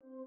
Calming escape.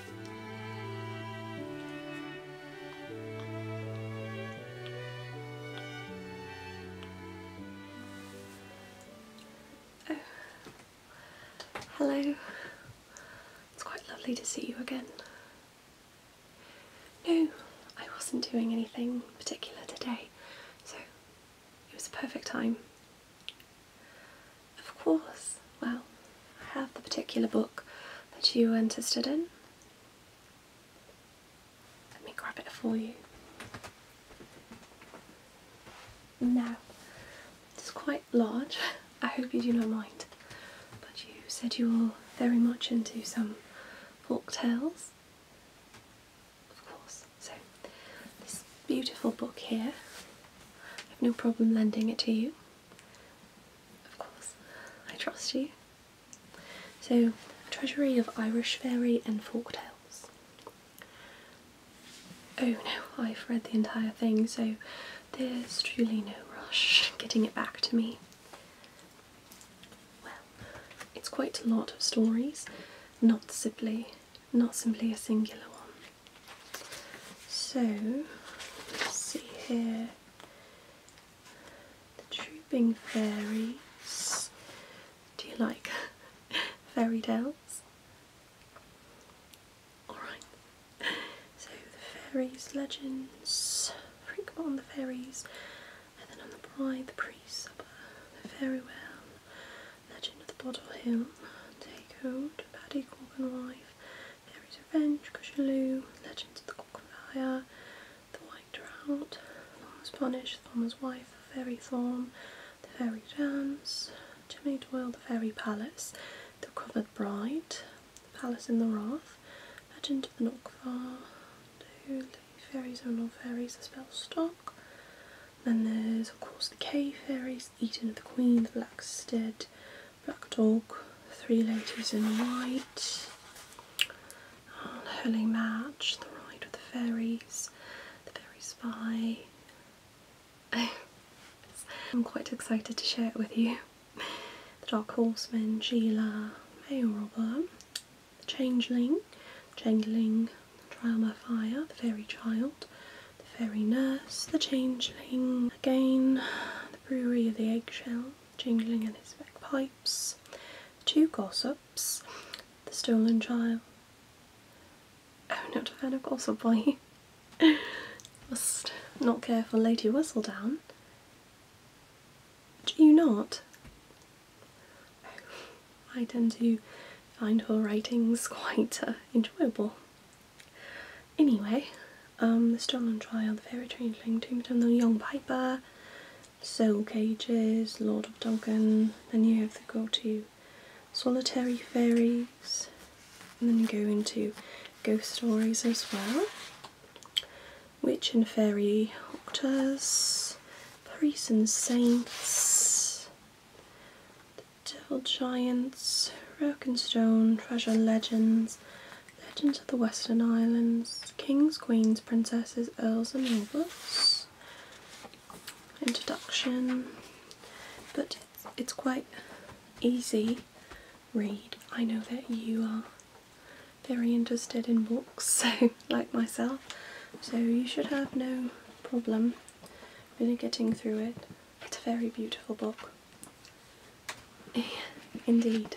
Oh. Hello. It's quite lovely to see you again. No, I wasn't doing anything particular today, so it was a perfect time. Of course, well, I have the particular book that you were interested in. Let me grab it for you. Now, it's quite large. I hope you do not mind. But you said you were very much into some folk tales. Of course. So, this beautiful book here, I have no problem lending it to you. Of course, I trust you. So, Treasury of Irish Fairy and Folk Tales. Oh no, I've read the entire thing, so there's truly no rush getting it back to me. Well, it's quite a lot of stories, not simply, not simply a singular one. So, let's see here. The Trooping Fairies. Do you like fairy tales? Alright. So, the fairies, legends, Freakbot on the fairies, and then on the bride, the priest, the fairy well, legend of the Bottle Hill, take hold, Paddy Corgan wife, Mary's Revenge, Cushaloo, Legends of the Cockfire, The White Drought, Thorn's Punish, Thorn's Wife, The Fairy Thorn, The Fairy Dance, Jimmy Doyle, The Fairy Palace, The Covered Bride, The Palace in the Wrath, Legend of the Nockvar, Do Fairies or Non Fairies, The Spell Stock, then there's of course the Cave Fairies, it's the Queen, The Blackstead, Black Dog, Three Ladies in White, oh, Match, The Ride with the Fairies, The Fairy Spy. I'm quite excited to share it with you. The Dark Horseman, Gila, Mayor Robber, The Changeling, Changeling, Trial by Fire, The Fairy Child, the fairy nurse, the changeling again, the brewery of the eggshell, jingling and his bagpipes, two gossips, the stolen child. Oh, not a fan of gossip, are you? Must not care for Lady Whistledown. Do you not? I oh, tend to find her writings quite uh, enjoyable. Anyway, um, the Strong and Trial, The Fairy Changeling, Tombstone, The Young Piper, Soul Cages, Lord of Dogan. then you have the go to Solitary Fairies, and then you go into ghost stories as well. Witch and Fairy Octus, Priests and Saints, Devil Giants, Rock and Stone, Treasure Legends, Legends of the Western Islands, Kings, Queens, Princesses, Earls and Nobles, Introduction, but it's quite easy read. I know that you are very interested in books, so like myself, so you should have no problem really getting through it. It's a very beautiful book. Indeed.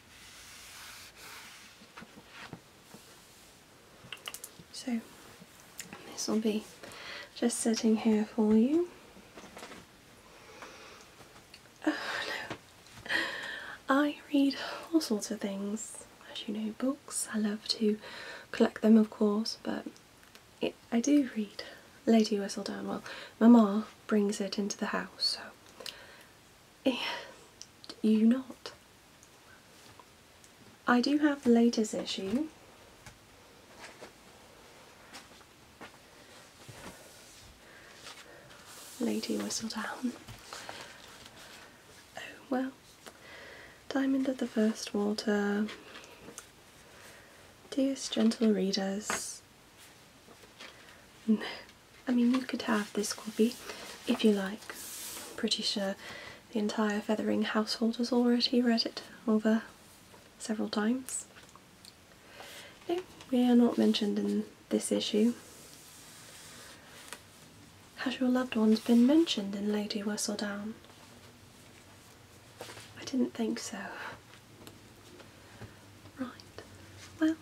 So this will be just sitting here for you. Oh no, I read all sorts of things, as you know, books. I love to collect them, of course, but I do read Lady Whistledown. Well, Mama brings it into the house, so do you not? I do have the latest issue. Lady Whistledown. Oh well. Diamond of the First Water. Dearest gentle readers. I mean, you could have this copy if you like. I'm pretty sure the entire feathering household has already read it over several times. No, we are not mentioned in this issue. Has your loved ones been mentioned in Lady Whistledown? I didn't think so. Right, well,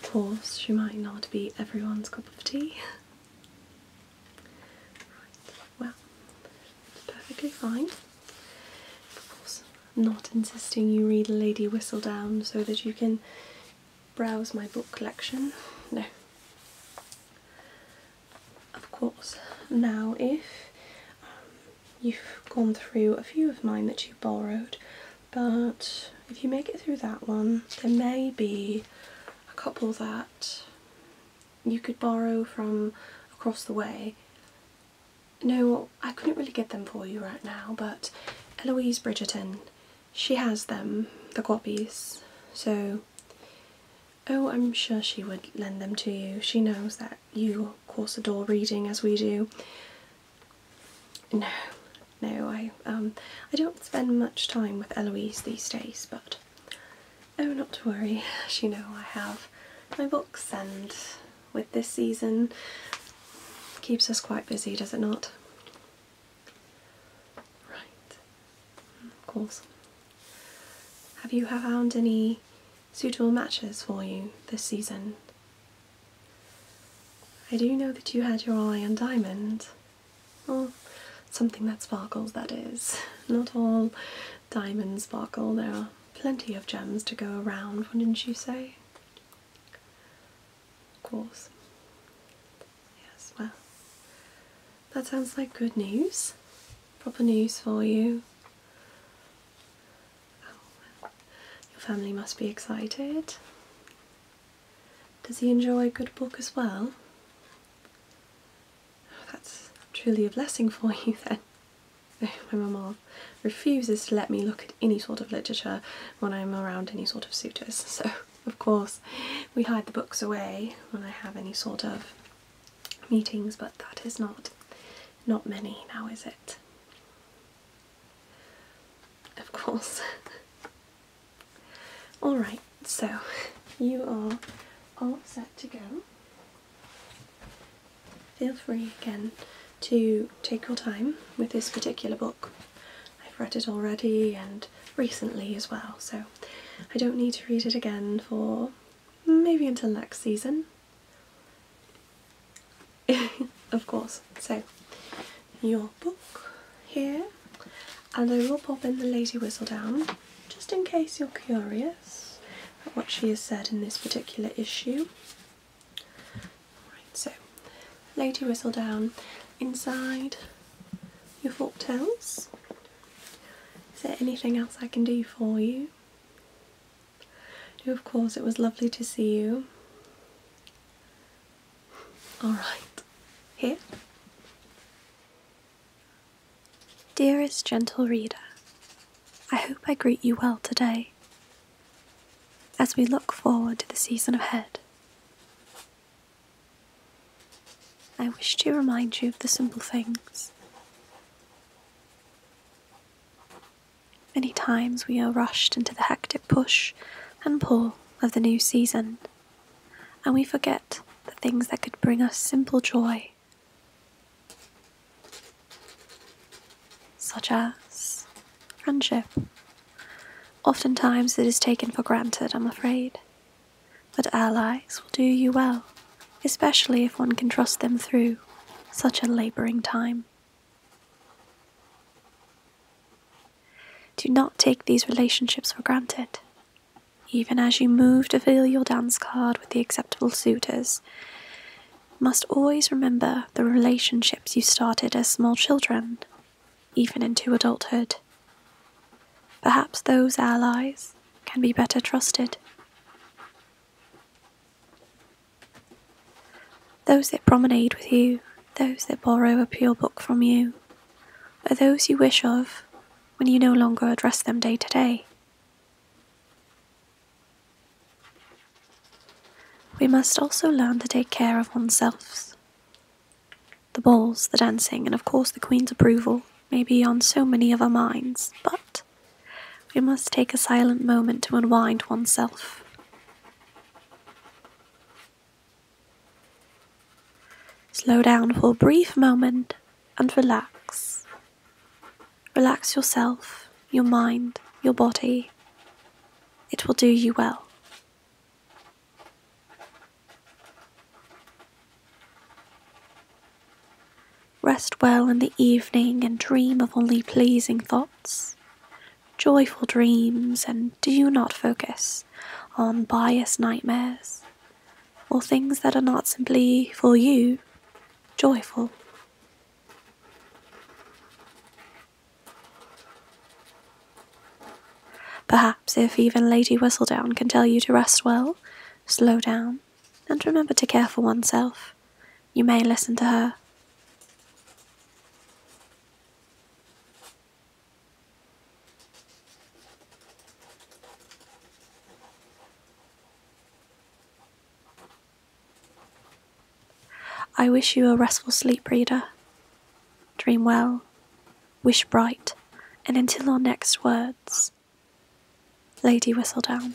of course, she might not be everyone's cup of tea. well, it's perfectly fine. Of course, I'm not insisting you read Lady Whistle Down* so that you can browse my book collection. No. Of course, now if um, you've gone through a few of mine that you borrowed but if you make it through that one there may be a couple that you could borrow from across the way. No, I couldn't really get them for you right now, but Eloise Bridgerton, she has them, the copies, so oh, I'm sure she would lend them to you. She knows that you, of course, adore reading as we do, no, no, I um I don't spend much time with Eloise these days, but oh not to worry, as you know I have my books and with this season keeps us quite busy, does it not? Right. Hmm, of course. Have you found any suitable matches for you this season? I do know that you had your eye on diamond. oh, something that sparkles, that is. Not all diamonds sparkle, there are plenty of gems to go around, wouldn't you say? Of course. Yes, well, that sounds like good news. Proper news for you. Oh, your family must be excited. Does he enjoy a good book as well? that's truly a blessing for you then. My mama refuses to let me look at any sort of literature when I'm around any sort of suitors, so of course we hide the books away when I have any sort of meetings, but that is not not many now, is it? of course. Alright, so you are all set to go. Feel free again to take your time with this particular book. I've read it already and recently as well, so I don't need to read it again for maybe until next season. of course. So, your book here, and I will pop in the Lady Whistledown just in case you're curious what she has said in this particular issue. Right, so Lady Whistledown inside your fork tails. Is there anything else I can do for you? Of course, it was lovely to see you. All right. Here. Dearest gentle reader, I hope I greet you well today as we look forward to the season ahead. I wish to remind you of the simple things Many times we are rushed into the hectic push and pull of the new season, and we forget the things that could bring us simple joy, such as friendship. Oftentimes it is taken for granted, I'm afraid, but allies will do you well, especially if one can trust them through such a labouring time. Do not take these relationships for granted. Even as you move to fill your dance card with the acceptable suitors, must always remember the relationships you started as small children, even into adulthood. Perhaps those allies can be better trusted. Those that promenade with you, those that borrow a pure book from you, are those you wish of when you no longer address them day to day. We must also learn to take care of oneself. The balls, the dancing, and of course the Queen's approval may be on so many of our minds, but we must take a silent moment to unwind oneself. Slow down for a brief moment and relax. Relax yourself, your mind, your body. It will do you well. Rest well in the evening and dream of only pleasing thoughts joyful dreams, and do not focus on biased nightmares or things that are not simply for you joyful. Perhaps if even Lady Whistledown can tell you to rest well, slow down, and remember to care for oneself, you may listen to her. I wish you a restful sleep, reader. Dream well, wish bright, and until our next words, Lady Whistledown.